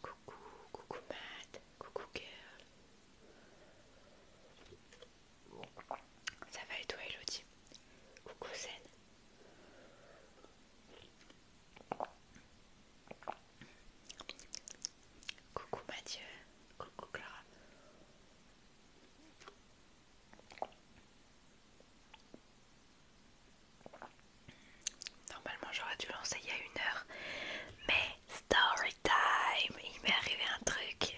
Coucou, coucou Matt, coucou girl. Ça va et toi Elodie Coucou Zen. Coucou Mathieu, coucou Clara. Normalement j'aurais dû lancer il y a une heure, mais story time, il m'est arrivé un truc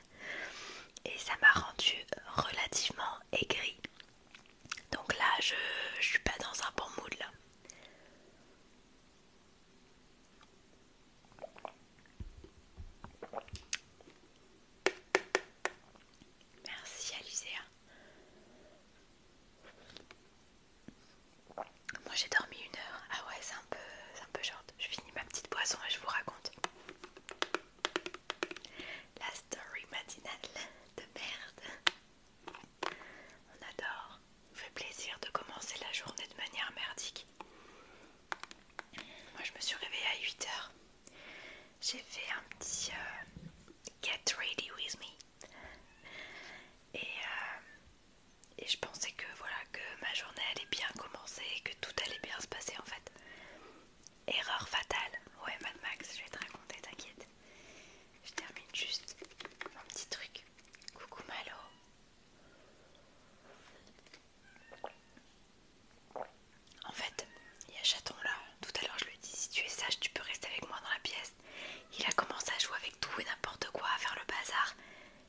et ça m'a rendu relativement aigri. Donc là je, suis pas dans un bon mood là. Merci Alizée. Moi j'ai dormi une heure. Ah ouais, c'est un peu c'est un peu Je finis ma petite boisson et je vous raconte. La story matinale de merde. On adore. fait plaisir de commencer la journée de manière merdique. Moi je me suis réveillée à 8h. J'ai fait un petit euh, Get Ready With Me. Et, euh, et je pensais que voilà que ma journée allait bien commencer et que tout allait bien se passer en fait. Erreur fatale. Ouais Mad Max, je vais te raconter, t'inquiète. Je termine juste mon petit truc. Coucou Malo. En fait, il y a Chaton là. Tout à l'heure, je lui ai dit si tu es sage, tu peux rester avec moi dans la pièce. Il a commencé à jouer avec tout et n'importe quoi, à faire le bazar.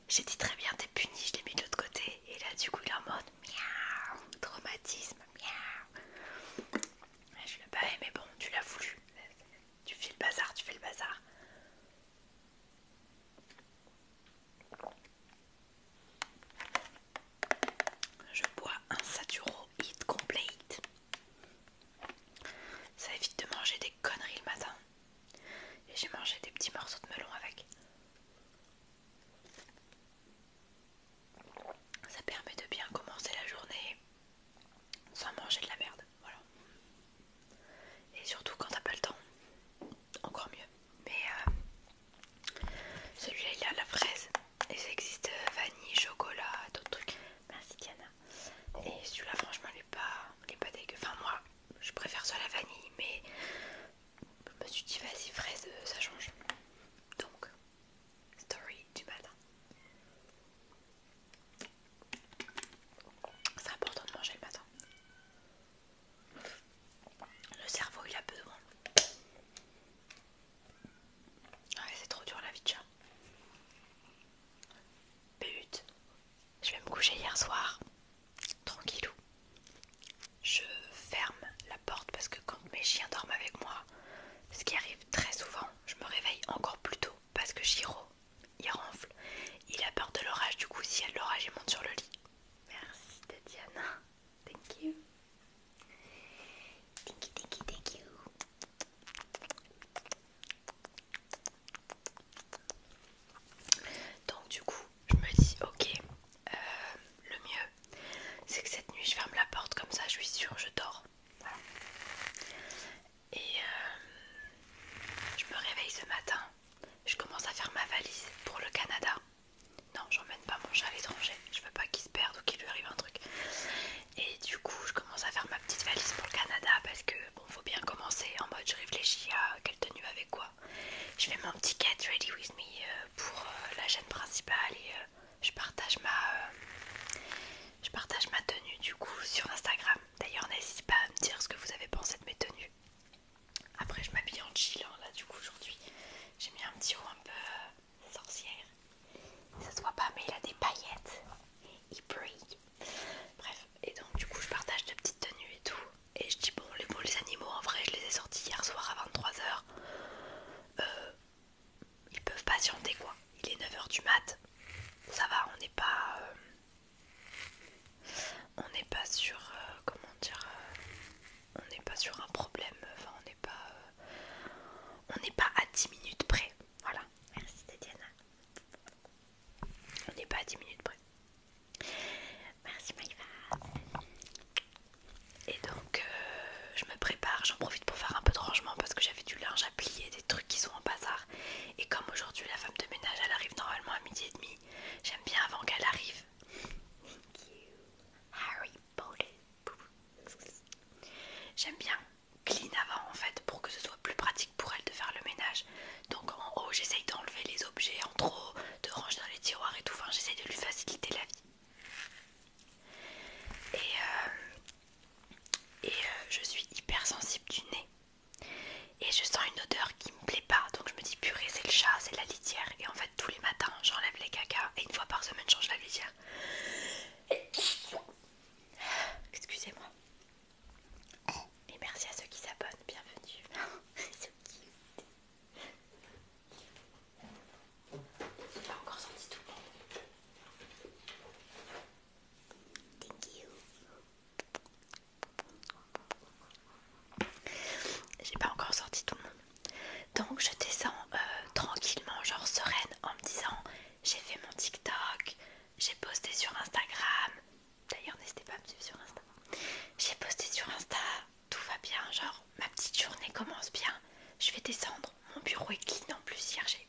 J'ai dit très bien, t'es puni, je l'ai mis de l'autre côté. Et là, du coup, il est en mode miaou, traumatisme, miaou. je l'ai pas aimé, mais bon, tu l'as voulu. Tu fais le bazar, tu fais le bazar. Je bois un Saturo Heat Complete. Ça évite de manger des conneries le matin. Et j'ai mangé des petits morceaux de melon avec. Ça permet de bien commencer la journée sans manger de la merde. Et surtout quand t'as pas le temps, encore mieux. Mais euh, celui-là il a la fraise et ça existe euh, vanille, chocolat, d'autres trucs. Merci Diana. Oh. Et celui-là franchement il est pas, il est pas dégueu. Enfin moi je préfère soit la vanille mais je me suis dit vas-y fraise euh, ça change. Donc story du matin. C'est important de manger le matin. Le cerveau il a besoin. Ah, c'est trop dur la vie de chat. But, je vais me coucher hier soir, tranquillou. Je ferme la porte parce que quand mes chiens dorment avec moi, ce qui arrive très souvent, je me réveille encore plus tôt parce que Giro, il ronfle, il a peur de l'orage, du coup s'il y a de l'orage, il monte sur le lit. Merci Tatiana. Thank you. Thank you, Donc du coup, je me dis ok, euh, le mieux, c'est que cette nuit je ferme la porte comme ça, je suis sûre, je dors. Et euh, je me réveille ce matin, je commence à faire ma valise pour le Canada non j'emmène pas mon chat à l'étranger je veux pas qu'il se perde ou qu'il lui arrive un truc et du coup je commence à faire ma petite valise pour le Canada parce que bon faut bien commencer en mode je réfléchis à quelle tenue avec quoi je fais mon petit get ready with me euh, pour euh, la chaîne principale et euh, je partage ma je partage ma tenue du coup sur Instagram d'ailleurs n'hésitez pas à me dire ce que vous avez pensé de mes tenues après je m'habille en chill hein, là du coup aujourd'hui. J'ai mis un petit haut un peu euh, sorcière. Ça se voit pas mais il a des paillettes. Il brille. Bref, et donc du coup je partage de petites tenues et tout. Et je dis bon les, les animaux en vrai je les ai sortis hier soir à 23h. Euh, ils peuvent patienter quoi. Il est 9h du mat. Ça va, on n'est pas... Euh, on n'est pas sur euh, comment dire euh, on n'est pas sur un problème enfin on n'est pas euh, on n'est pas à 10 minutes près voilà merci Tatiana on n'est pas à 10 minutes près merci Maïva et donc je me prépare j'en profite pour faire un peu de rangement parce que j'avais du linge à plier des trucs qui sont en bazar et comme aujourd'hui la femme de ménage elle arrive normalement à midi et demi j'aime bien avant qu'elle arrive J'aime bien clean avant en fait pour que ce soit plus pratique pour elle de faire le ménage. Donc en haut j'essaye d'enlever les objets en trop, de ranger dans les tiroirs et tout. j'essaye de lui faciliter la vie. Et, euh, euh, je suis hyper sensible du nez. Et je sens une odeur qui me plaît pas donc je me dis purée c'est le chat c'est la litière et en fait tous les matins j'enlève les caca et une fois par semaine je change la litière excusez moi et merci à ceux qui s'abonnent bienvenue j'ai pas encore senti tout thank you j'ai pas encore sorti tout le monde. Donc je descends euh, tranquillement, genre sereine, en me disant j'ai fait mon TikTok, j'ai posté sur Instagram. D'ailleurs n'hésitez pas à me suivre sur Insta. J'ai posté sur Insta, tout va bien, genre ma petite journée commence bien. Je vais descendre, mon bureau est clean en plus hier j'ai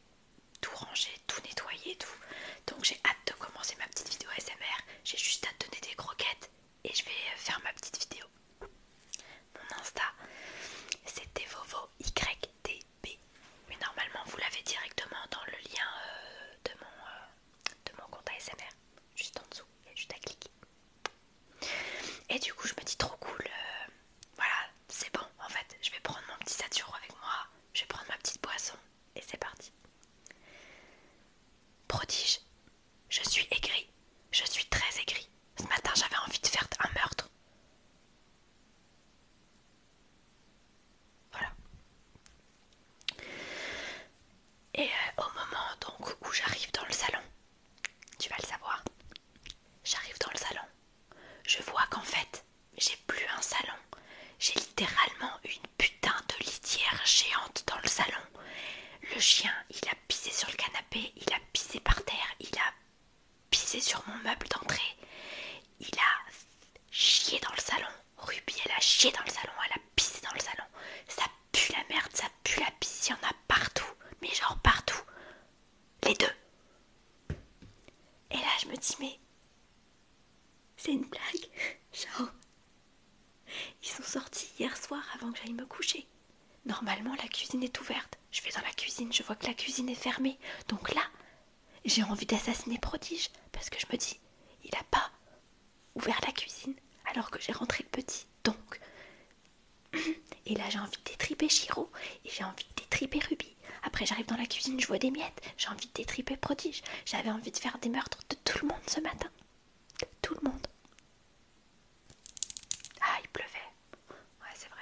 tout rangé, tout nettoyé, tout. Donc j'ai hâte de commencer ma petite vidéo SMR. J'ai juste à donner des croquettes et je vais faire ma petite vidéo. Mon Insta, c'est devovoydb. Mais normalement, vous l'avez directement dans le lien euh, de, mon, euh, de mon compte ASMR, juste en dessous. Il y a juste à cliquer. Et du coup, je me dis trop cool. Euh, voilà, c'est bon en fait. Je vais prendre mon petit saturo avec moi. Je vais prendre ma petite boisson et c'est parti. Prodige, je suis aigri, je suis très aigri. Ce matin, j'avais envie de faire un meurtre. Voilà. Et euh, au moment donc où j'arrive dans le salon, tu vas le savoir, j'arrive dans le salon, je vois qu'en fait, j'ai plus un salon, j'ai littéralement une putain de litière géante dans le salon. Le chien, il a il a pissé sur le canapé, il a pissé par terre, il a pissé sur mon meuble d'entrée, il a chié dans le salon. Ruby, elle a chié dans le salon, elle a pissé dans le salon. Ça pue la merde, ça pue la pisse, il y en a partout, mais genre partout. Les deux. Et là, je me dis, mais c'est une blague. Genre, ils sont sortis hier soir avant que j'aille me coucher. Normalement, la cuisine est ouverte. Je vais dans la cuisine, je vois que la cuisine est fermée. Donc là, j'ai envie d'assassiner Prodige parce que je me dis, il a pas ouvert la cuisine alors que j'ai rentré le petit. Donc, et là, j'ai envie de détriper Chiro et j'ai envie de détriper Ruby. Après, j'arrive dans la cuisine, je vois des miettes. J'ai envie de détriper Prodige. J'avais envie de faire des meurtres de tout le monde ce matin. tout le monde. Ah, il pleuvait. Ouais, c'est vrai.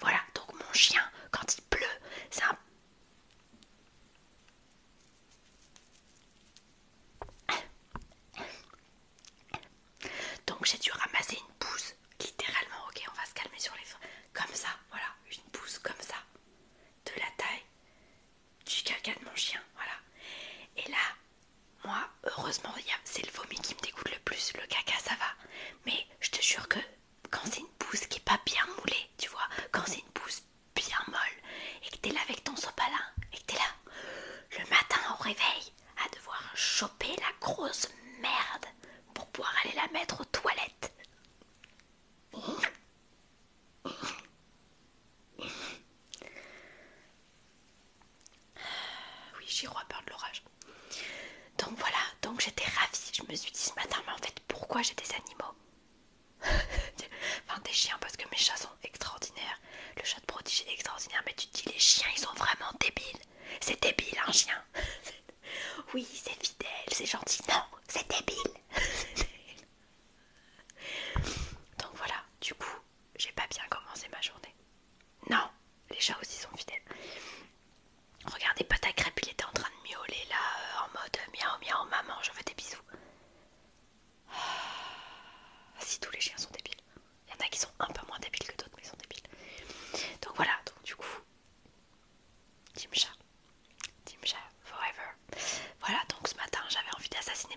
Voilà, donc mon chien, quand il pleut, c'est un... Donc j'ai dû ramasser une pousse, littéralement, ok, on va se calmer sur les... Comme ça, voilà, une pousse comme ça, de la taille du caca de mon chien, voilà. Et là, moi, heureusement, c'est le vomi qui me dégoûte le plus, le caca ça va. Mais je te jure que quand c'est une pousse qui est pas bien moulée, tu vois, quand c'est une pousse bien molle et que t'es là avec ton sopalin et que t'es là le matin au réveil à devoir choper la grosse merde pour pouvoir aller la mettre aux toilettes. oui, j'ai a peur de l'orage. Donc voilà, donc j'étais ravie. Je me suis dit ce matin, mais en fait, pourquoi j'ai des animaux Enfin, des chiens, parce que mes chats sont extraordinaires. Le chat de prodige est extraordinaire, mais tu dis, les chiens, ils sont vraiment débiles. C'est débile, un chien. oui, c'est fidèle, c'est gentil. Non, c'est débile. Donc voilà, du coup, j'ai pas bien commencé ma journée. Non, les chats aussi sont fidèles. Regardez, pas il était en train de miauler là, euh, en mode euh, miaou miaou, maman, je veux des bisous. Ah, si tous les chiens sont débiles, il y en a qui sont un peu moins débiles que d'autres, mais ils sont débiles. Donc voilà, donc du coup, Team Chat, Forever. Voilà, donc ce matin j'avais envie d'assassiner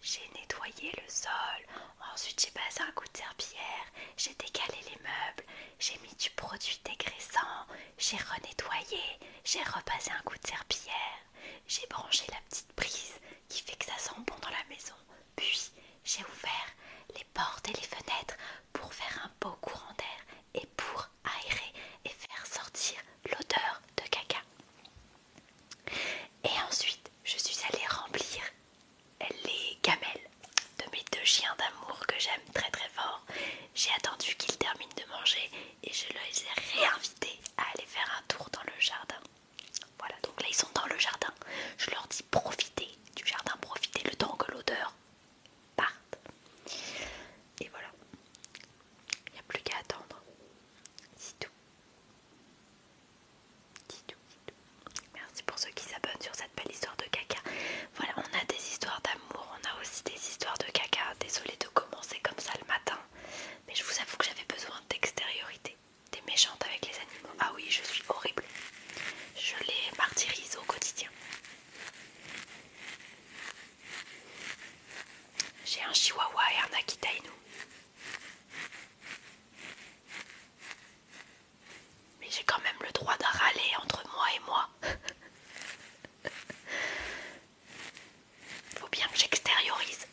j'ai nettoyé le sol, ensuite j'ai passé un coup de serpillère, j'ai décalé les meubles, j'ai mis du produit dégraissant, j'ai renettoyé, j'ai repassé un coup de serpillère, j'ai branché la petite prise qui fait que ça sent bon dans la maison, puis j'ai ouvert les portes et les fenêtres pour faire un beau courant d'air et pour aérer et faire sortir l'odeur de caca. Et ensuite, je suis allée remplir les gamelles de mes deux chiens d'amour que j'aime très très fort. J'ai attendu qu'ils terminent de manger et je les ai réinvités à aller faire un tour dans le jardin. Voilà, donc là ils sont dans le jardin. Je leur dis profitez du jardin, profitez le temps que l'odeur parte. Et voilà, il n'y a plus qu'à attendre. C'est tout. Merci pour ceux qui s'abonnent sur cette belle histoire de caca. Voilà, on a des histoires d'amour, on a aussi des histoires de caca. Désolée de commencer comme ça le matin, mais je vous avoue que j'avais besoin d'extériorité, des méchantes avec les animaux. Ah oui, je suis horrible. Je les martyrise au quotidien. J'ai un chihuahua et un akita mais j'ai quand même le droit de râler entre moi et moi. Faut bien que j'extériorise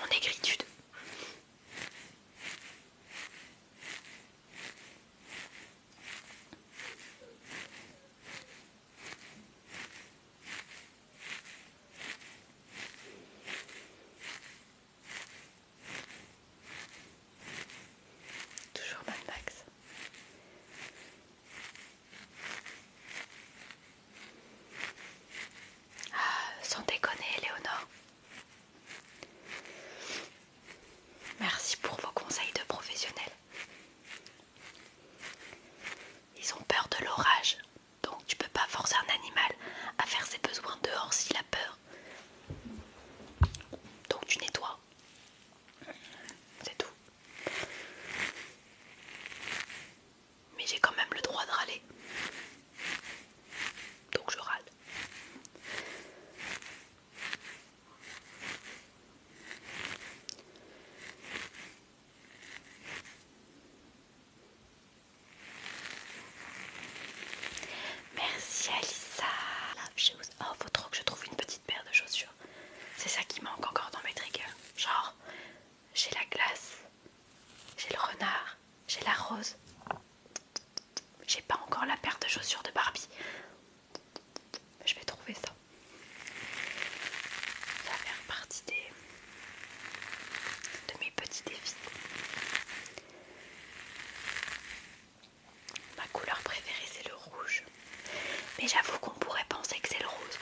mon aigritude. Toujours Ah, sans déconner, Léonore. Merci pour vos conseils de professionnels. Ils ont peur de l'orage, donc tu peux pas forcer un animal à faire ses besoins dehors s'il a peur. Donc tu nettoies. C'est tout. Mais j'ai quand même le droit de râler. Donc je râle. Merci Alissa. Oh, faut trop que je trouve une petite paire de chaussures. C'est ça qui manque encore dans mes triggers. Genre, j'ai la glace, j'ai le renard, j'ai la rose. J'ai pas encore la paire de chaussures de Barbie. Je vais trouver ça. Ça fait partie des, de mes petits défis. Ma couleur préférée c'est le rouge. Mais j'avoue qu'on pourrait penser que c'est le rose.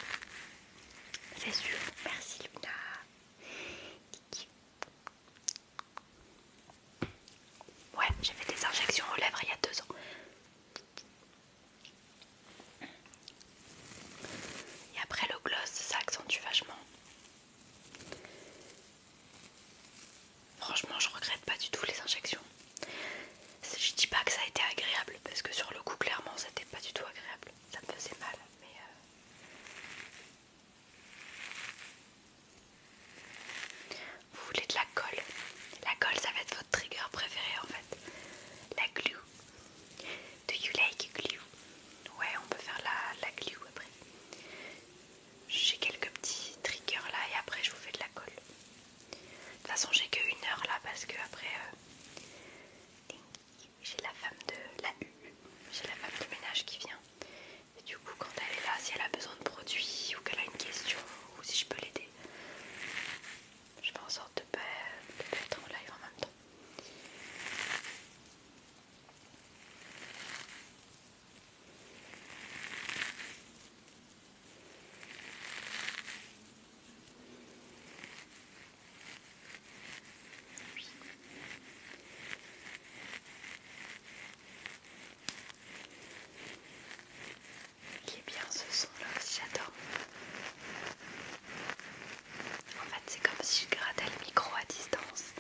C'est sûr. Merci Luna. Ouais, j'ai fait des injections aux lèvres il y a deux ans. Et après le gloss, ça accentue vachement. Franchement, je regrette pas du tout les injections. Je dis pas que ça a été agréable parce que sur le coup, clairement, ça n'était pas du tout agréable. Ça me faisait mal, mais. Euh, Vous voulez de la colle La colle, ça va être votre trigger préféré en fait. La glue. Do you like glue Ouais, on peut faire la, glue après. J'ai quelques petits triggers là et après je vous fais de la colle. De toute façon, j'ai que une heure là parce que après euh, j'ai la femme de la j'ai la femme de ménage qui vient. Et du coup, quand elle est là, si elle a besoin de produits ou qu'elle a une question ou si je peux l'aider, je fais en sorte de ne pas être en live en même temps. Il eh est bien ce son là, j'adore. En fait, c'est comme si je grattais le micro à distance.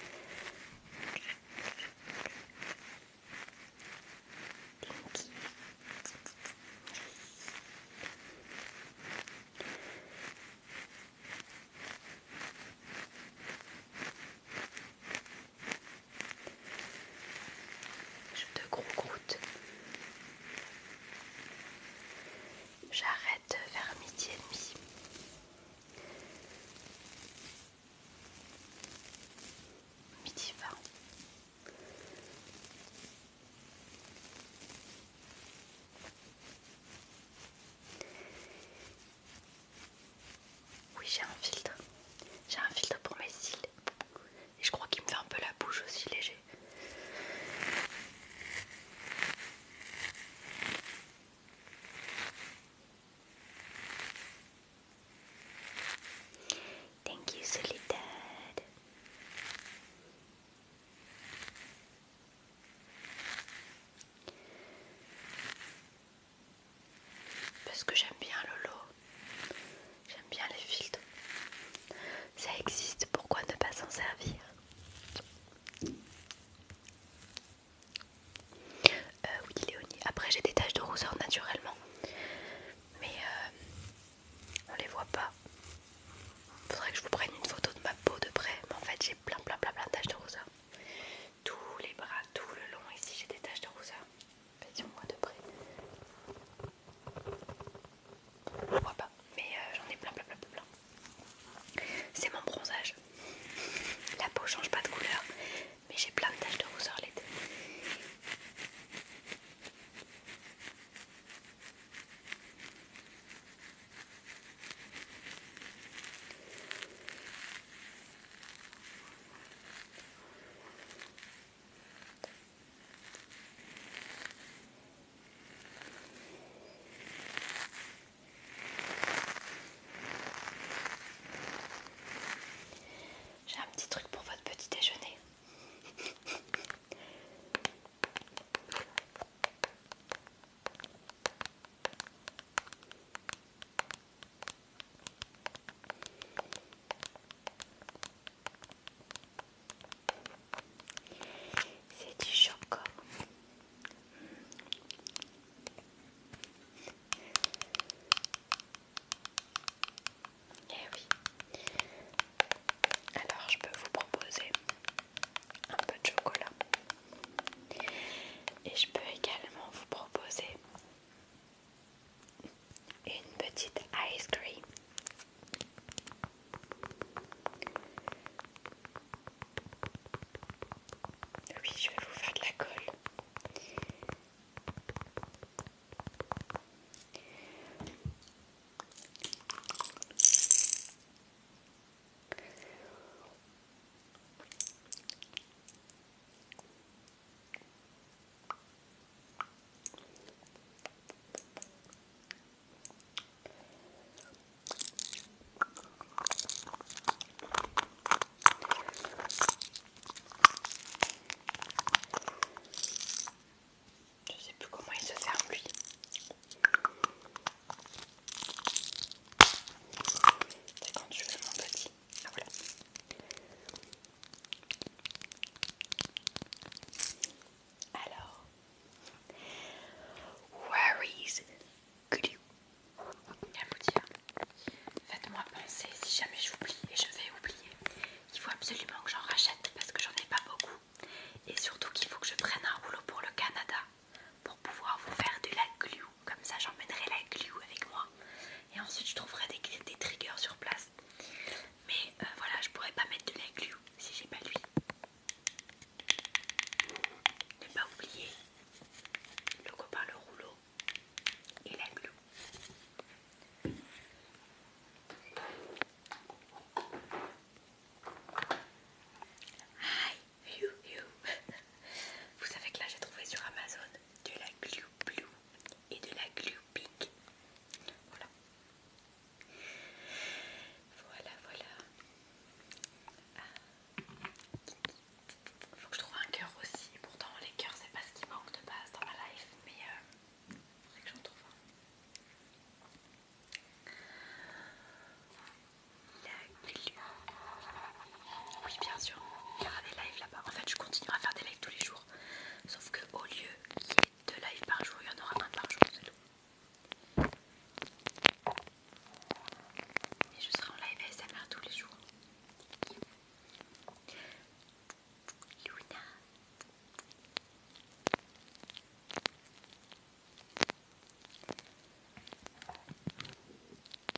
Je te gros J'arrête vers midi et demi. Midi vingt. Oui, j'ai un filtre. J'ai un filtre pour mes cils. Et je crois qu'il me fait un peu la bouche aussi léger. Thank you, Parce que j'aime bien le lot, j'aime bien les filtres. Ça existe, pourquoi ne pas s'en servir euh, oui, Léonie. Après, j'ai des taches de roseur naturellement, mais on euh, on les voit pas. il Faudrait que je vous prenne une photo de ma peau de près, mais en fait, j'ai plein, plein, plein, plein de taches de rousseur. Tous les bras, tout le long, ici, j'ai des taches de rousseur. Faites-moi de près. On vois pas, mais euh, j'en ai plein, plein, plein, plein. C'est mon bronzage. La peau change pas de couleur, mais j'ai plein de taches de rousseur l'été. J'ai un petit truc pour votre petit déjeuner. C'est du chocolat. Eh Alors je peux vous proposer un peu de chocolat. Et je peux également vous proposer une petite ice cream. Oui, je vais vous faire de la colle. Je sais plus comment il se ferme lui. C'est quand tu veux mon petit. Ah, Alors, worries, Glu. vous dire Faites-moi penser si jamais j'oublie, et je vais oublier, il faut absolument que j'en rachète parce que j'en ai pas beaucoup. Et surtout qu'il faut que je prenne un rouleau pour le Canada pour pouvoir vous faire de la glue. Comme ça, j'emmènerai la glue avec moi. Et ensuite, je trouverai des, triggers sur place. Mais euh, voilà, je pourrais pas mettre de la glue si j'ai pas lui. Ne pas oublier le copain, le rouleau et la glue. Hi, Vous savez que là j'ai trouvé sur Amazon de la glue blue et de la glue pink. Voilà. Voilà, voilà. Ah. Faut que je trouve un cœur aussi. Pourtant, les cœurs, c'est pas ce qui manque de base dans ma life, mais il euh, faudrait que j'en trouve un. Oui, bien sûr, il y aura des lives là-bas. En fait, je continuerai à faire des lives tous les jours. Sauf qu'au lieu de y lives par jour, il y en aura plein par jour, et je serai en live ASMR tous les jours. Luna.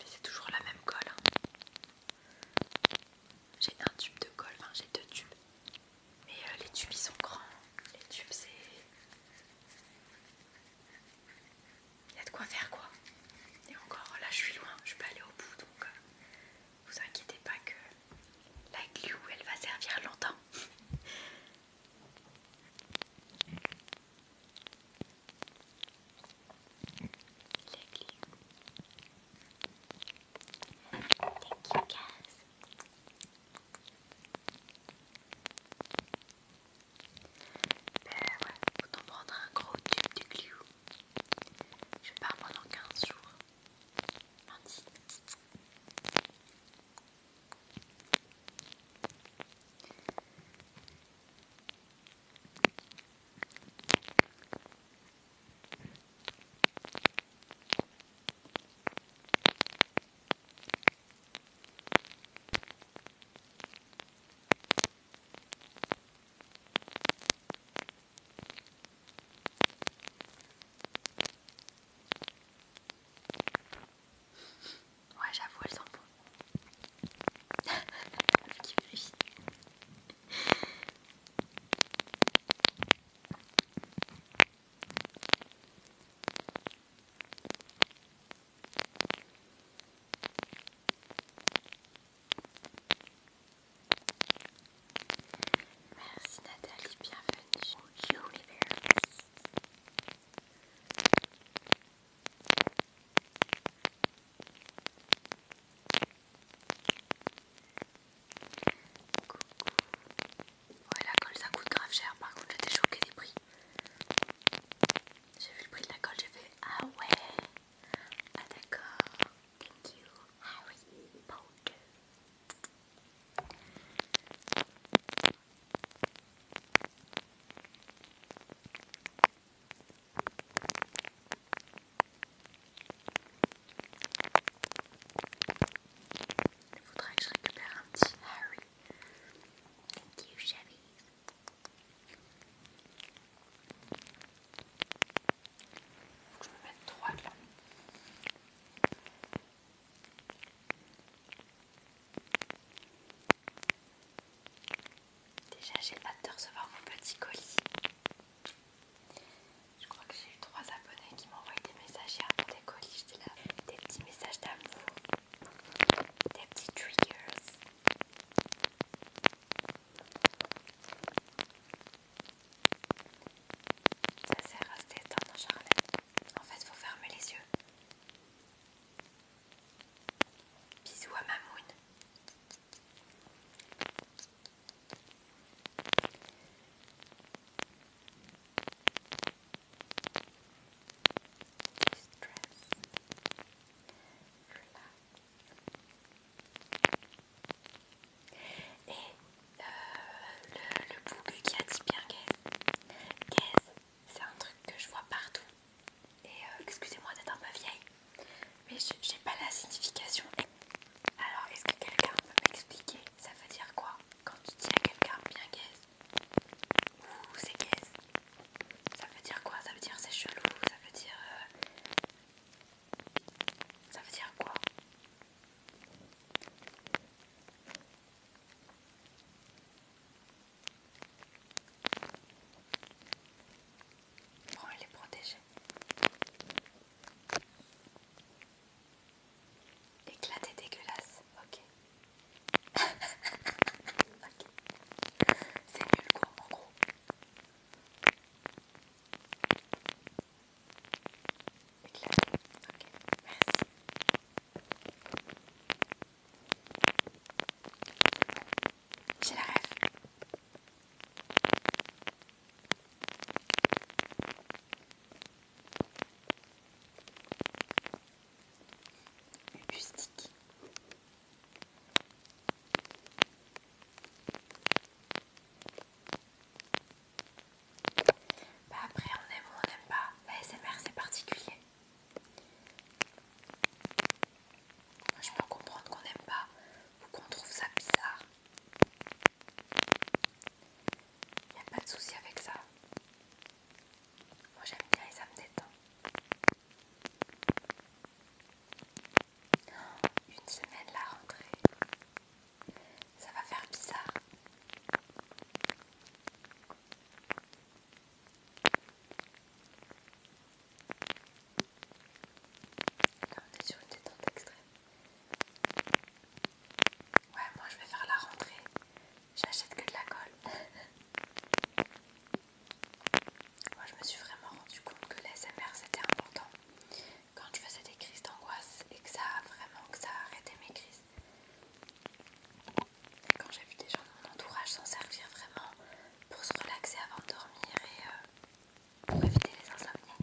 C'est toujours la même colle. Hein. J'ai un tube de colle, j'ai deux tubes. Mais euh, les tubes ils sont grands. Les tubes c'est il y a de quoi faire quoi. Et encore, là je suis loin, je peux aller au bout donc euh, vous inquiétez pas que la glue elle va servir longtemps. Ben ouais, faut t'en prendre un gros tube de glue. Je pars pendant 15 jours. Ouais, j'avoue, elles sont Merci Nathalie, bienvenue au Universe. Coucou. Ouais, la colle ça coûte grave cher. Par contre, j'étais choquée des prix. J'ai vu le prix de la colle, j'ai fait Ah ouais, ah d'accord. Thank you, Harry Il faudrait que je récupère un petit Harry Thank you, Shabby. Faut que je me mette droit là. Déjà, j'ai hâte de recevoir mon petit colis. Je crois que j'ai eu trois abonnés qui m'ont des messages hier pour des colis. J'étais là, des petits messages d'amour des petits triggers. Ça sert à se détendre, Charlotte. En fait, faut fermer les yeux. Bisous à Mamoun. Et euh, le, le qui qui dit bien Gaze, c'est un truc que je vois partout. Et excusez-moi euh, d'être un peu vieille, mais j'ai pas la signification. Alors, est-ce que quelqu'un peut m'expliquer Ça veut dire quoi quand tu dis à quelqu'un bien gaze Ouh, c'est gaze. Ça veut dire quoi Ça veut dire c'est chelou. Ça veut dire. Euh, ça veut dire quoi Bon, elle est protégée. Éclaté dégueulasse, ok. okay. C'est nul quoi en gros. Éclaté, ok, merci. J'ai la rêve du Bah après on aime ou on n'aime pas, la SMR c'est particulier. je peux comprendre qu'on n'aime pas ou qu'on trouve ça bizarre. Il n'y a pas de souci avec ça. Moi j'aime bien et ça me détend. Oh, une semaine la rentrée. Ça va faire bizarre. Là on est sur une détente extrême. Ouais, moi je vais faire la rentrée J'achète que de la colle. Moi, je me suis vraiment rendu compte que l'ASMR c'était important quand je faisais des crises d'angoisse et que ça a vraiment que ça arrêté mes crises. Quand j'ai vu des gens de mon entourage s'en servir vraiment pour se relaxer avant de dormir et euh, pour éviter les insomnies.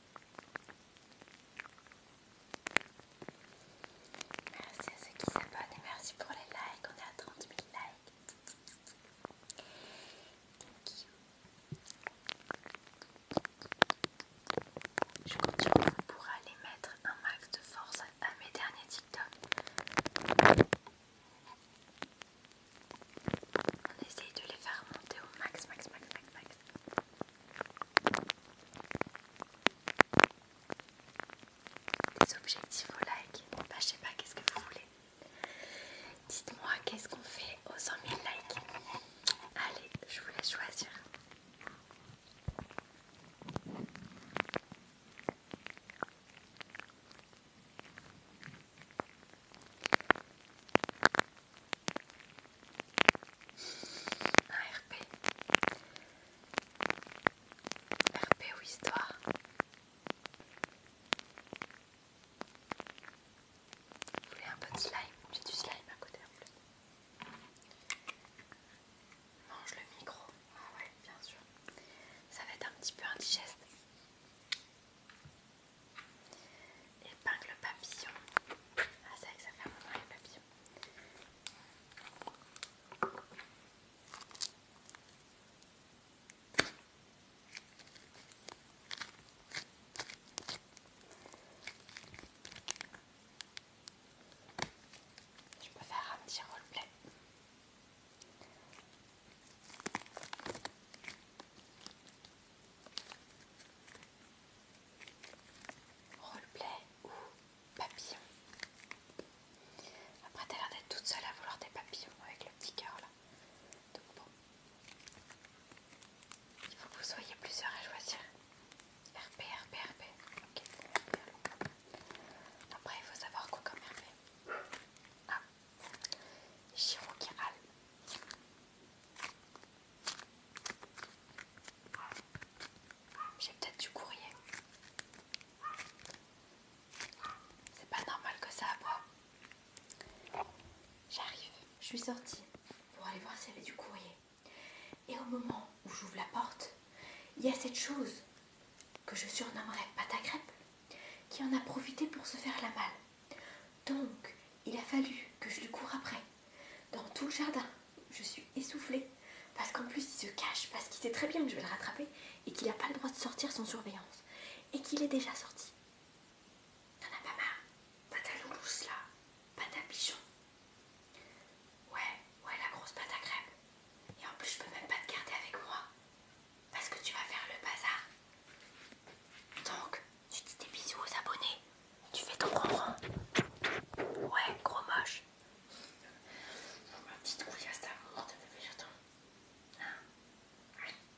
Merci à ceux qui s'abonnent et merci pour les likes. On est à 30 000 likes. Thank you. Je continue pour aller mettre un max de force à mes derniers TikTok. On essaye de les faire monter au max, max, max, max, max. Des objectifs au like. Bah, je sais pas, qu'est-ce que vous voulez Dites-moi, qu'est-ce qu'on fait aux 100 000 likes Allez, je vous laisse choisir. Un RP. RP ou histoire Vous voulez un peu de slime J'ai du slime à côté en plus. Mange le micro. Ah ouais, bien sûr. Ça va être un petit peu indigeste. Épingle papillon. Ah, ça que ça fait un moment les papillons. Je peux faire un petit roleplay. Roleplay ou papillon. Après t'as l'air d'être toute seule à vouloir des papillons avec le petit cœur là. Donc bon. Il faut que vous soyez plusieurs à choisir. RP, RP, RP. Après il faut savoir quoi comme RP. Ah. Chiro qui râle. J'ai peut-être du courrier. C'est pas normal que ça aboie. J'arrive. Je suis sortie pour aller voir s'il y avait du courrier. Et au moment où j'ouvre la porte, il y a cette chose que je surnommerais pâte à qui en a profité pour se faire la malle. Donc, il a fallu que je lui cours après, dans tout le jardin. Je suis essoufflée, parce qu'en plus il se cache, parce qu'il sait très bien que je vais le rattraper, et qu'il n'a pas le droit de sortir sans surveillance, et qu'il est déjà sorti. T'en as pas marre Pas ta loulousse là, pas ta pigeon. Ouais, ouais, la grosse pâte à crêpes. Et en plus, je peux même pas te garder avec moi, parce que tu vas faire le bazar. Donc, tu dis des bisous aux abonnés. Tu fais ton ronron. Ouais, gros moche. Ma petite couillasse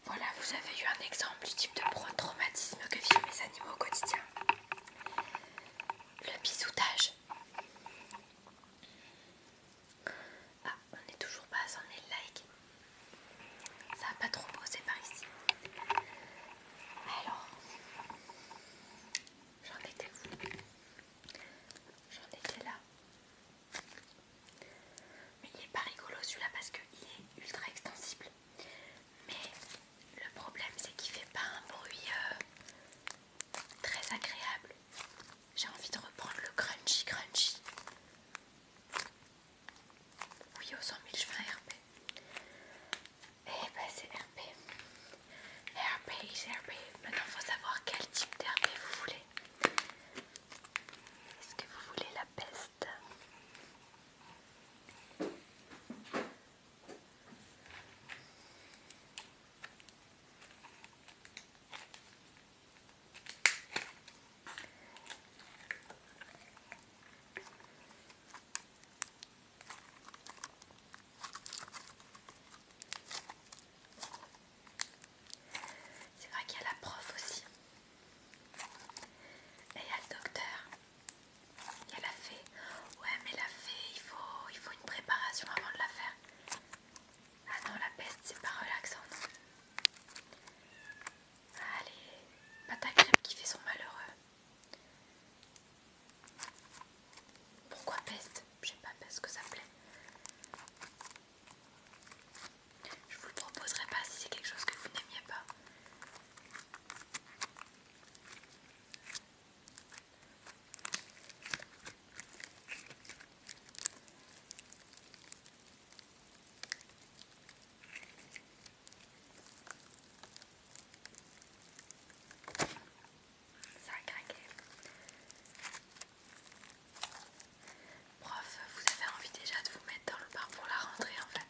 Voilà, vous avez eu un exemple du type de traumatisme que vivent mes animaux au quotidien. Le bisoutage. Ah, on n'est toujours pas à 100 le likes. Ça n'a pas trop posé par ici. Alors, j'en étais où J'en étais là. Mais il est pas rigolo celui-là parce qu'il est ultra extensible. Mais le problème c'est qu'il fait pas un bruit euh, très agréable. J'ai envie de reprendre le crunchy crunchy. Oui, aux 100 000, je vais Et RP. Eh ben, c'est RP. RP, c'est RP. Maintenant, il faut savoir quel type d'RP vous voulez. Est-ce que vous voulez la peste c'est vrai qu'il y a la prof aussi. Et il y a le docteur. Il y a la fée. Ouais mais la fée, il faut, il faut une préparation avant de la faire. Ah non, la peste, c'est pas relaxant, Allez, pas qui fait son malheureux. Pourquoi peste Je sais pas parce que ça plaît. Je vous le proposerai pas si c'est quelque chose que vous n'aimiez pas. Ça Prof, vous avez envie déjà de vous mettre dans le bar pour la rentrée en fait.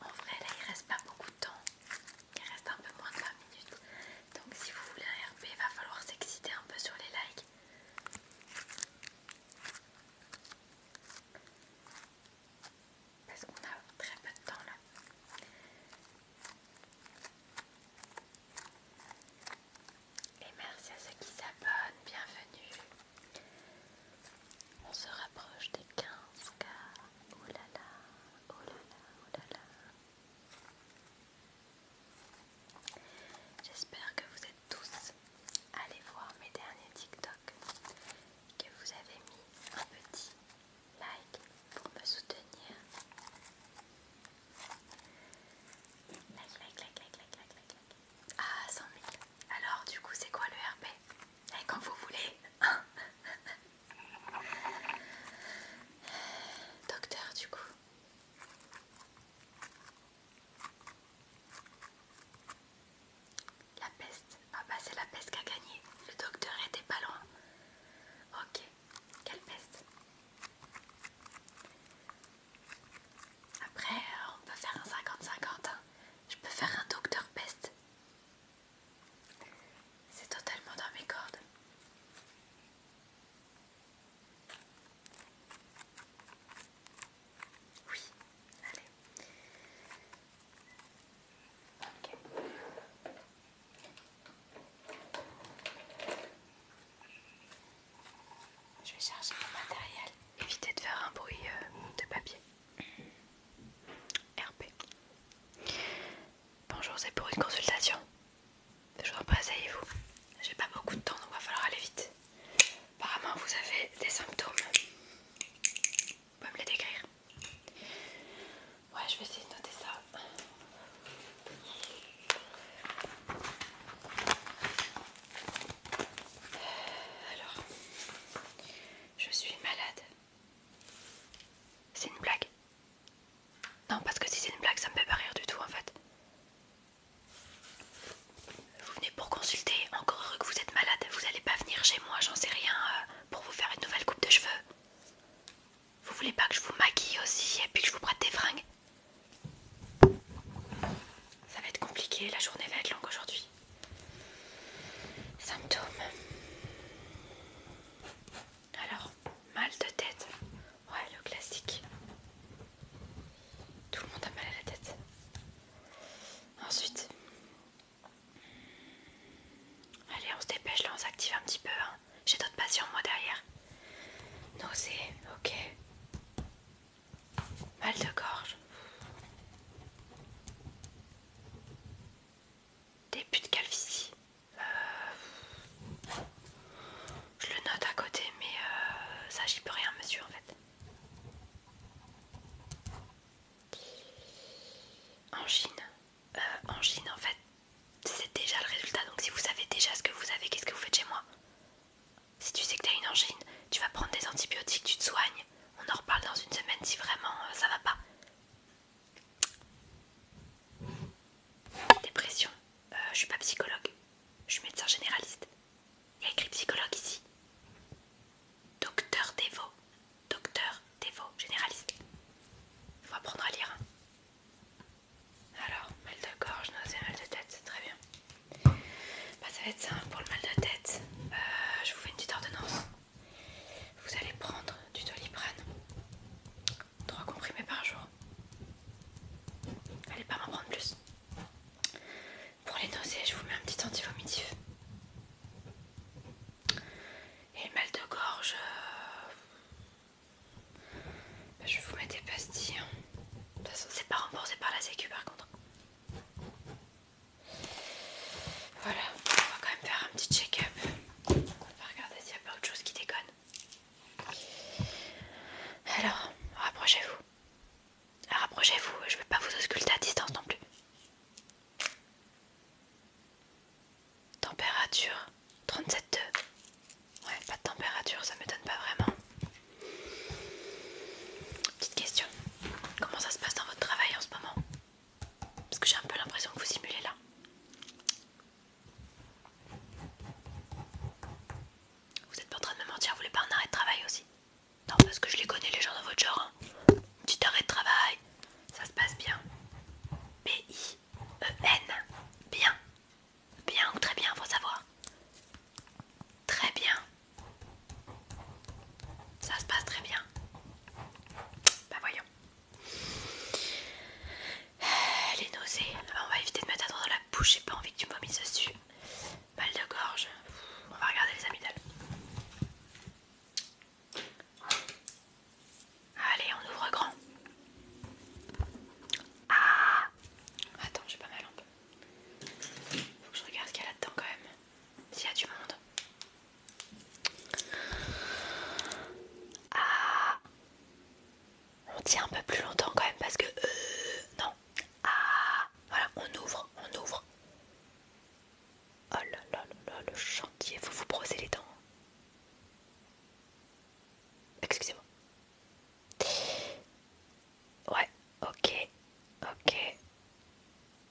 En vrai, là il reste pas beaucoup de temps, il reste un peu moins de 20 minutes. Donc, si vous voulez un RP, il va falloir s'exciter un peu sur les likes. Parce qu'on a très peu de temps là. Et merci à ceux qui s'abonnent, bienvenue. On se rapproche des 15K. Oh là là, oh là là, oh là là. J'espère que vous êtes tous allés voir mes derniers TikTok, que vous avez mis un petit like pour me soutenir. Like, like, like, like, like, like, like. Ah, 100 000. Alors, du coup, c'est quoi le RP quand vous voulez. Hein. Docteur, du coup. La peste. Ah bah c'est la peste qui a gagné. Le docteur était pas loin. Ok. Quelle peste Après, euh, on peut faire un 50-50. Hein. Je peux faire un docteur peste. C'est totalement dans mes cordes. Oui, allez. Je vais charger mon matériel. Évitez de faire un bruit euh, de papier. RP. Bonjour, c'est pour une consultation. Je vous vous J'ai pas beaucoup de temps, donc va falloir aller vite. Apparemment, vous avez des symptômes. Vous pouvez me les décrire Ouais, je vais essayer de noter ça. Alors, je suis malade. C'est une blague Non, parce que si c'est une blague, ça me fait pas rire du tout en fait. Vous venez pour consulter, encore heureux que vous êtes malade, vous allez pas venir chez moi, j'en sais rien, euh, pour vous faire une nouvelle coupe de cheveux. Vous voulez pas que je vous maquille aussi et puis que je vous prête des fringues Ça va être compliqué, la journée va être longue aujourd'hui. Symptômes. Alors, mal de tête. Ouais, le classique. Tout le monde a mal à la tête. Ensuite. Allez, on se dépêche là, on s'active un petit peu. Hein. J'ai d'autres patients moi derrière. Nausée, ok. Mal de gorge. Début de calvitie. Euh, je le note à côté, mais euh, ça, j'y peux rien, monsieur, en fait. Angine. Euh, angine, en fait, c'est déjà le résultat. Donc, si vous savez déjà ce que vous avez, qu'est-ce que vous faites chez moi Si tu sais que tu as une angine, tu vas prendre des antibiotiques, tu te soignes. On en reparle dans une semaine si vraiment euh, ça va pas. Dépression. Euh, je suis pas psychologue. Je suis médecin généraliste. Il y a écrit psychologue ici. Docteur Dévot. Docteur Dévot, généraliste. Faut apprendre à lire. Hein. Alors, mal de gorge, nausée, mal de tête, c'est très bien. Bah, ça va être simple hein, pour le mal de tête. Euh, je vous fais une petite ordonnance vous allez prendre du doliprane, 3 comprimés par jour. Allez pas m'en prendre plus. Pour les nausées, je vous mets un petit antivomitif. Et le mal de gorge, euh, je vous mets des pastilles. Hein. De toute façon, c'est pas remboursé par la Sécu par contre. Voilà, on va quand même faire un petit check-up. On va regarder s'il n'y a pas autre chose qui déconne. Alors, rapprochez-vous. Rapprochez-vous, je ne vais pas vous ausculter à distance non plus. Température 37,2. Ouais, pas de température, ça ne m'étonne pas vraiment. Petite question. Comment ça se passe dans votre travail en ce moment parce que j'ai un peu l'impression que vous simulez là. Vous êtes pas en train de me mentir, vous voulez pas un arrêt de travail aussi Non, parce que je les connais les gens de votre genre. Hein. Petit arrêt de travail, ça se passe bien. B-I-E-N. Bien. Bien ou très bien, faut savoir. Très bien. Ça se passe très bien. Bah voyons. Euh, est nausée ah, bah, On va éviter de mettre la dans la bouche. J'ai pas envie que tu me vomisses dessus. Mal de gorge. On va regarder les amygdales. Allez, on ouvre grand. Ah Attends, j'ai pas ma lampe. Faut que je regarde ce qu'il y a là-dedans quand même. S'il y a du monde. Ah. On tient un peu plus longtemps quand même parce que... Euh, non. Ah. Voilà, on ouvre, on ouvre. Oh là là là, le chantier, faut vous brosser les dents. Excusez-moi. Ouais, ok, ok.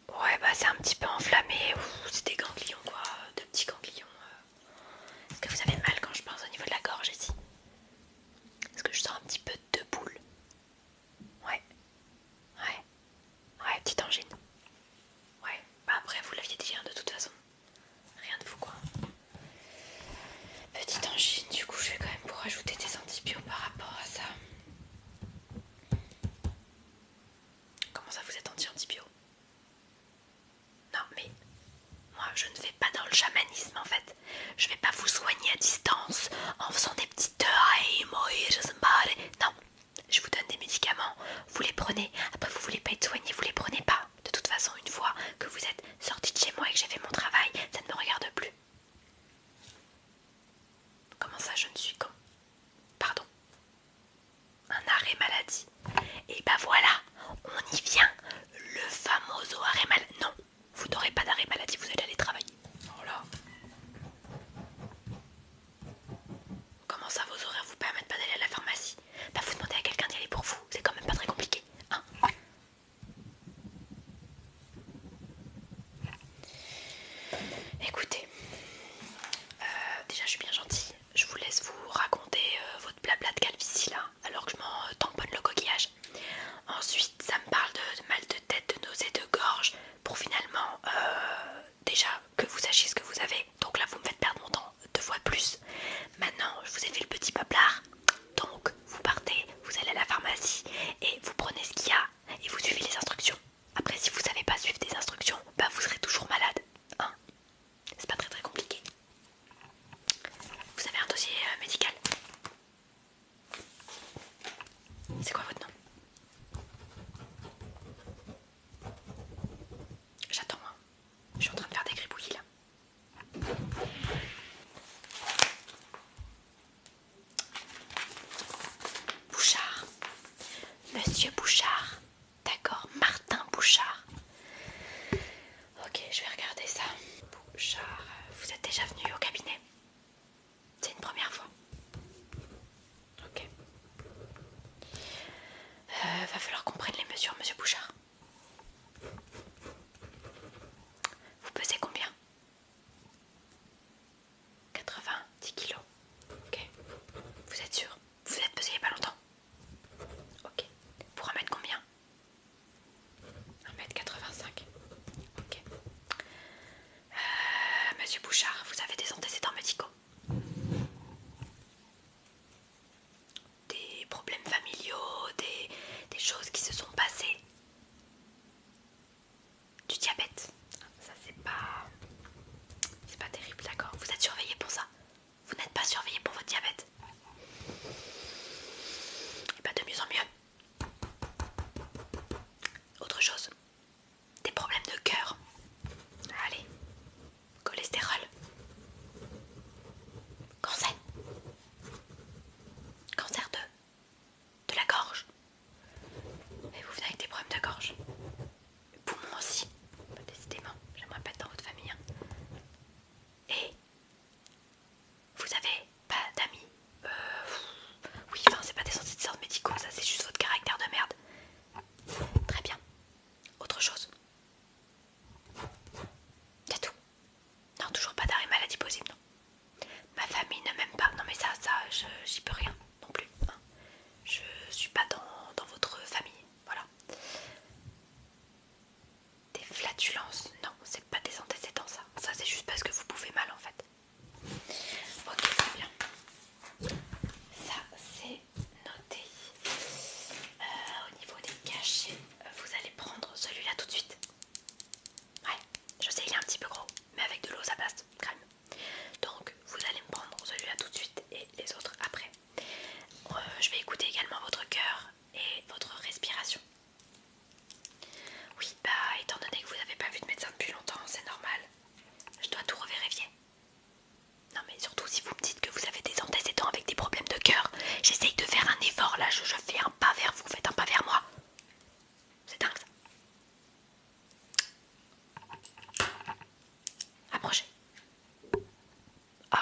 Ouais, bah c'est un petit peu enflammé. C'est des ganglions, quoi. De petits ganglions. Euh. Est-ce que vous avez mal quand je pense au niveau de la gorge ici Est-ce que je sens un petit peu de boule Ouais. Ouais. Ouais, petite angine. Ouais. Bah après, vous l'aviez déjà hein, de toute façon. Rien de fou, quoi. Petite angine, du coup, je vais quand même pour ajouter des antibiotiques par rapport à ça. Comment ça vous êtes anti-antibio Non mais moi je ne vais pas dans le chamanisme en fait. Je ne vais pas vous soigner à distance en faisant des petites Non, je vous donne des médicaments, vous les prenez, après vous voulez pas être soigné, vous les prenez pas. De toute façon, une fois que vous êtes sorti de chez moi et que j'ai fait mon travail, ça ne me regarde plus. Comment ça je ne suis comme pardon, un arrêt maladie. Et bah voilà, on y vient, le fameux arrêt maladie. Non, vous n'aurez pas d'arrêt maladie, vous allez aller travailler. Oh là Comment ça, vos horaires vous permettent pas d'aller à la pharmacie Bah vous demandez à quelqu'un d'y aller pour vous, c'est quand même pas très compliqué, hein? Écoutez, euh, déjà je suis bien gentille, je vous laisse vous raconter euh, votre blabla de calvitie là, alors que je m'en tamponne le coquillage. Ensuite, ça me parle de, mal de tête, de nausée, de gorge, pour finalement euh, déjà que vous sachiez ce que vous avez. Donc là, vous me faites perdre mon temps deux fois plus. Maintenant, je vous ai fait le petit peuplard Donc, vous partez, vous allez à la pharmacie et vous prenez ce qu'il y a et vous suivez les instructions. Après, si vous savez pas suivre des instructions, bah vous serez toujours malade. Hein C'est pas très très compliqué. Vous avez un dossier euh, médical C'est quoi votre nom J'attends, moi. Hein. je suis en train de faire des gribouillis là. Bouchard. Monsieur Bouchard. D'accord, Martin Bouchard. Ok, je vais regarder ça. Bouchard, vous êtes déjà venu au cabinet C'est une première fois. Ok. Euh, va falloir qu'on prenne les mesures, monsieur Bouchard. Vous pesez combien 90 kg kilos. Ok. Vous êtes sûr Vous êtes pesé n'y a pas longtemps Ok. Pour en mettre combien 1m85. Ok. Euh, monsieur Bouchard, vous avez des antécédents médicaux Des problèmes familiaux, des, des choses qui se sont passées du diabète. Ça c'est pas... C'est pas terrible, d'accord Vous êtes surveillé pour ça Vous n'êtes pas surveillé pour votre diabète Et bah de mieux en mieux. Autre chose Des problèmes de cœur. Allez. Cholestérol. Cancer. Cancer de de la gorge. Et vous venez avec des problèmes de gorge. Poumons aussi, décidément, j'aimerais pas être dans votre famille. Hein. Et vous avez pas d'amis. Euh, oui, enfin, c'est pas des sortes de sortes médicaux, ça c'est juste votre caractère de merde. Très bien. Autre chose. C'est tout. Non, toujours pas d'arrêt maladie possible, non. Ma famille ne m'aime pas. Non mais ça, ça, j'y peux rien non plus. Hein. Je suis pas dans, votre famille, voilà. Des flatulences, non, c'est pas des antécédents ça. Ça c'est juste parce que vous pouvez mal en fait. Ok, très bien. Ça c'est noté. Euh, au niveau des cachets, vous allez prendre celui-là tout de suite. Ouais, je sais, il est un petit peu gros mais avec de l'eau ça passe, crème. Donc vous allez me prendre celui-là tout de suite et les autres après. Euh, je vais écouter également votre cœur et votre respiration. Oui, bah étant donné que vous n'avez pas vu de médecin depuis longtemps, c'est normal. Je dois tout revérifier. Non mais surtout si vous me dites que vous avez des antécédents avec des problèmes de cœur, j'essaye de faire un effort là, je, je fais un pas vers vous, faites un pas vers moi. C'est dingue ça. Approchez. Oh,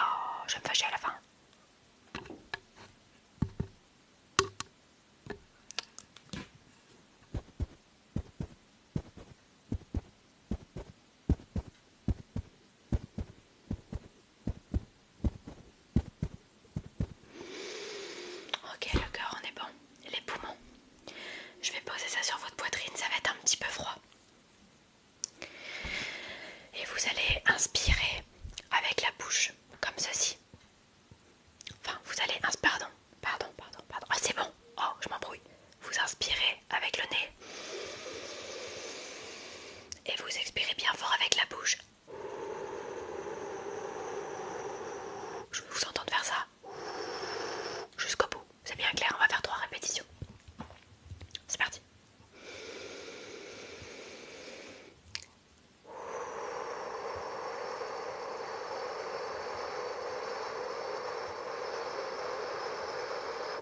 je me fâche à la fin. Ok, le cœur, on est bon. Les poumons. Je vais poser ça sur votre poitrine, ça va être un petit peu froid. Et vous allez inspirer avec la bouche, comme ceci. Enfin, vous allez inspirer, pardon, pardon, pardon, pardon. Ah, c'est bon, oh, je m'embrouille. Vous inspirez avec le nez. Et vous expirez bien fort avec la bouche. Je vous vous entendre faire ça jusqu'au bout. C'est bien clair, on va faire trois répétitions. C'est parti.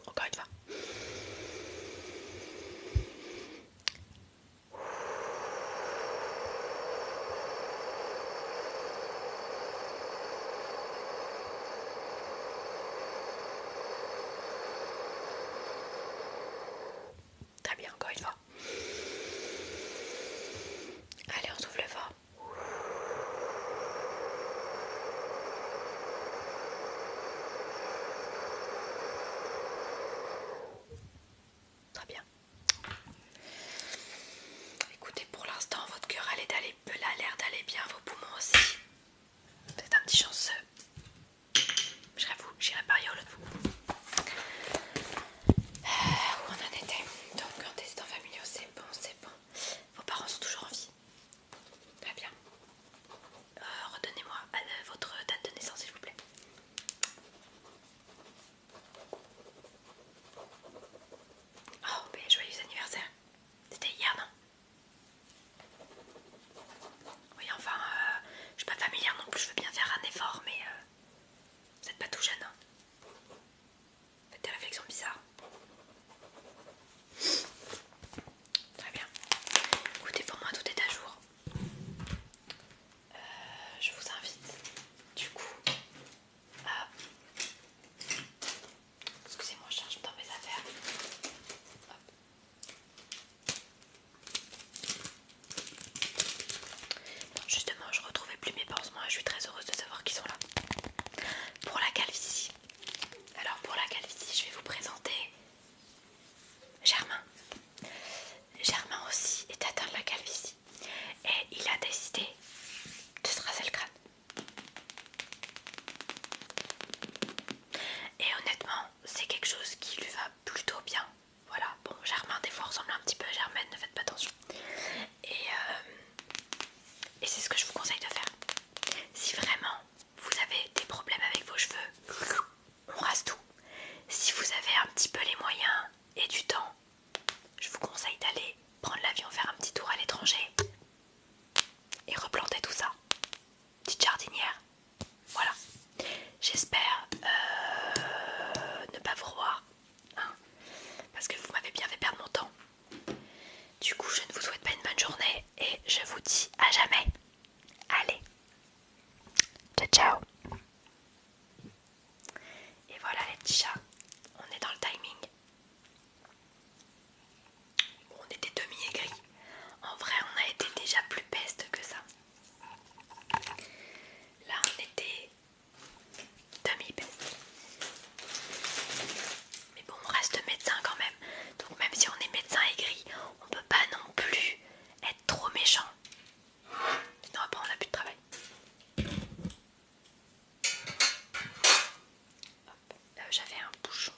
Encore une fois. Très bien, encore une fois. Allez, on souffle fort. Très bien. Écoutez, pour l'instant, votre cœur a l'air d'aller bien, vos poumons aussi. Vous êtes un petit chanceux. Je vous, j'irai par l'autre vous. Euh, où on en était Donc, en testant familial, c'est bon, c'est bon. Vos parents sont toujours en vie. Très bien. Euh, redonnez-moi euh, votre date de naissance, s'il vous plaît. Oh, mais joyeux anniversaire! C'était hier, non? Oui, enfin, euh, je suis pas familière non plus, je veux bien faire un effort, mais euh, vous êtes pas tout jeune, hein. Faites des réflexions bizarres. Très bien. Écoutez, pour moi, tout est à jour. Euh, je vous invite, du coup, ah. Excusez-moi, je cherche dans mes affaires. Justement, je retrouvais plus mes pansements et je suis très heureuse de savoir qu'ils sont là. Pour la calvitie. Alors pour la calvitie, je vais vous présenter Germain. Germain aussi est atteint de la calvitie et il a décidé de se raser le crâne. Et honnêtement, c'est quelque chose qui lui va plutôt bien. Voilà, bon, Germain des fois ressemble un petit peu à Germaine, ne faites pas attention. Et, euh, et c'est ce que je vous conseille de faire. Si vraiment vous avez des problèmes avec vos cheveux, on rase tout. Si vous avez un petit peu les moyens et du temps, je vous conseille d'aller prendre l'avion, faire un petit tour à l'étranger et replanter tout ça. Petite jardinière. Voilà. J'espère euh, ne pas vous voir hein, parce que vous m'avez bien fait perdre mon temps. Du coup, je ne vous souhaite pas une bonne journée et je vous dis à jamais. Allez. Ciao, ciao. Et voilà les petits chats, on est dans le timing. on était demi-aigris. En vrai, on a été déjà plus peste que ça. Là, on était demi-peste. Mais bon, on reste médecin quand même. Donc même si on est médecin aigri, on peut pas non plus être trop méchant. Sinon après on n'a plus de travail. Euh, j'avais un bouchon.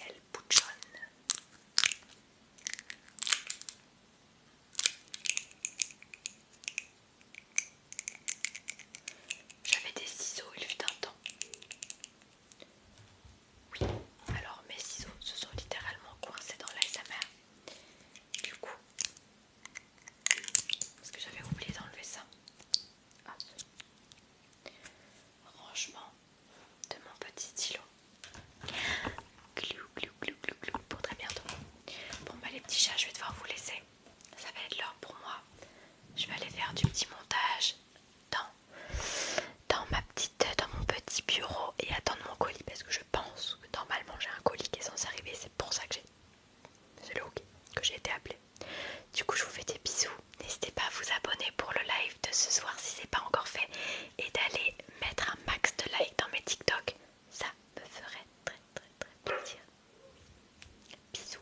Elle bouchonne. J'avais des ciseaux il fut un temps. Oui, alors mes ciseaux se sont littéralement coincés dans l'ASMR. Du coup, parce que j'avais oublié d'enlever ça. Rangement de mon petit stylo. Glou, glou, glou, glou, pour très bientôt. Bon, bah les petits chats, je vais devoir vous laisser. Ça va être l'heure pour moi. Je vais aller faire du petit montage dans dans ma petite, dans mon petit bureau et attendre mon colis parce que je pense que normalement j'ai un colis qui est censé arriver. C'est pour ça que j'ai, c'est que j'ai été appelée. Du coup, je vous fais des bisous. N'hésitez pas à vous abonner pour le live de ce soir si c'est pas encore fait et d'aller mettre un max de likes dans mes TikTok. Ça me ferait très très très plaisir. Bisous.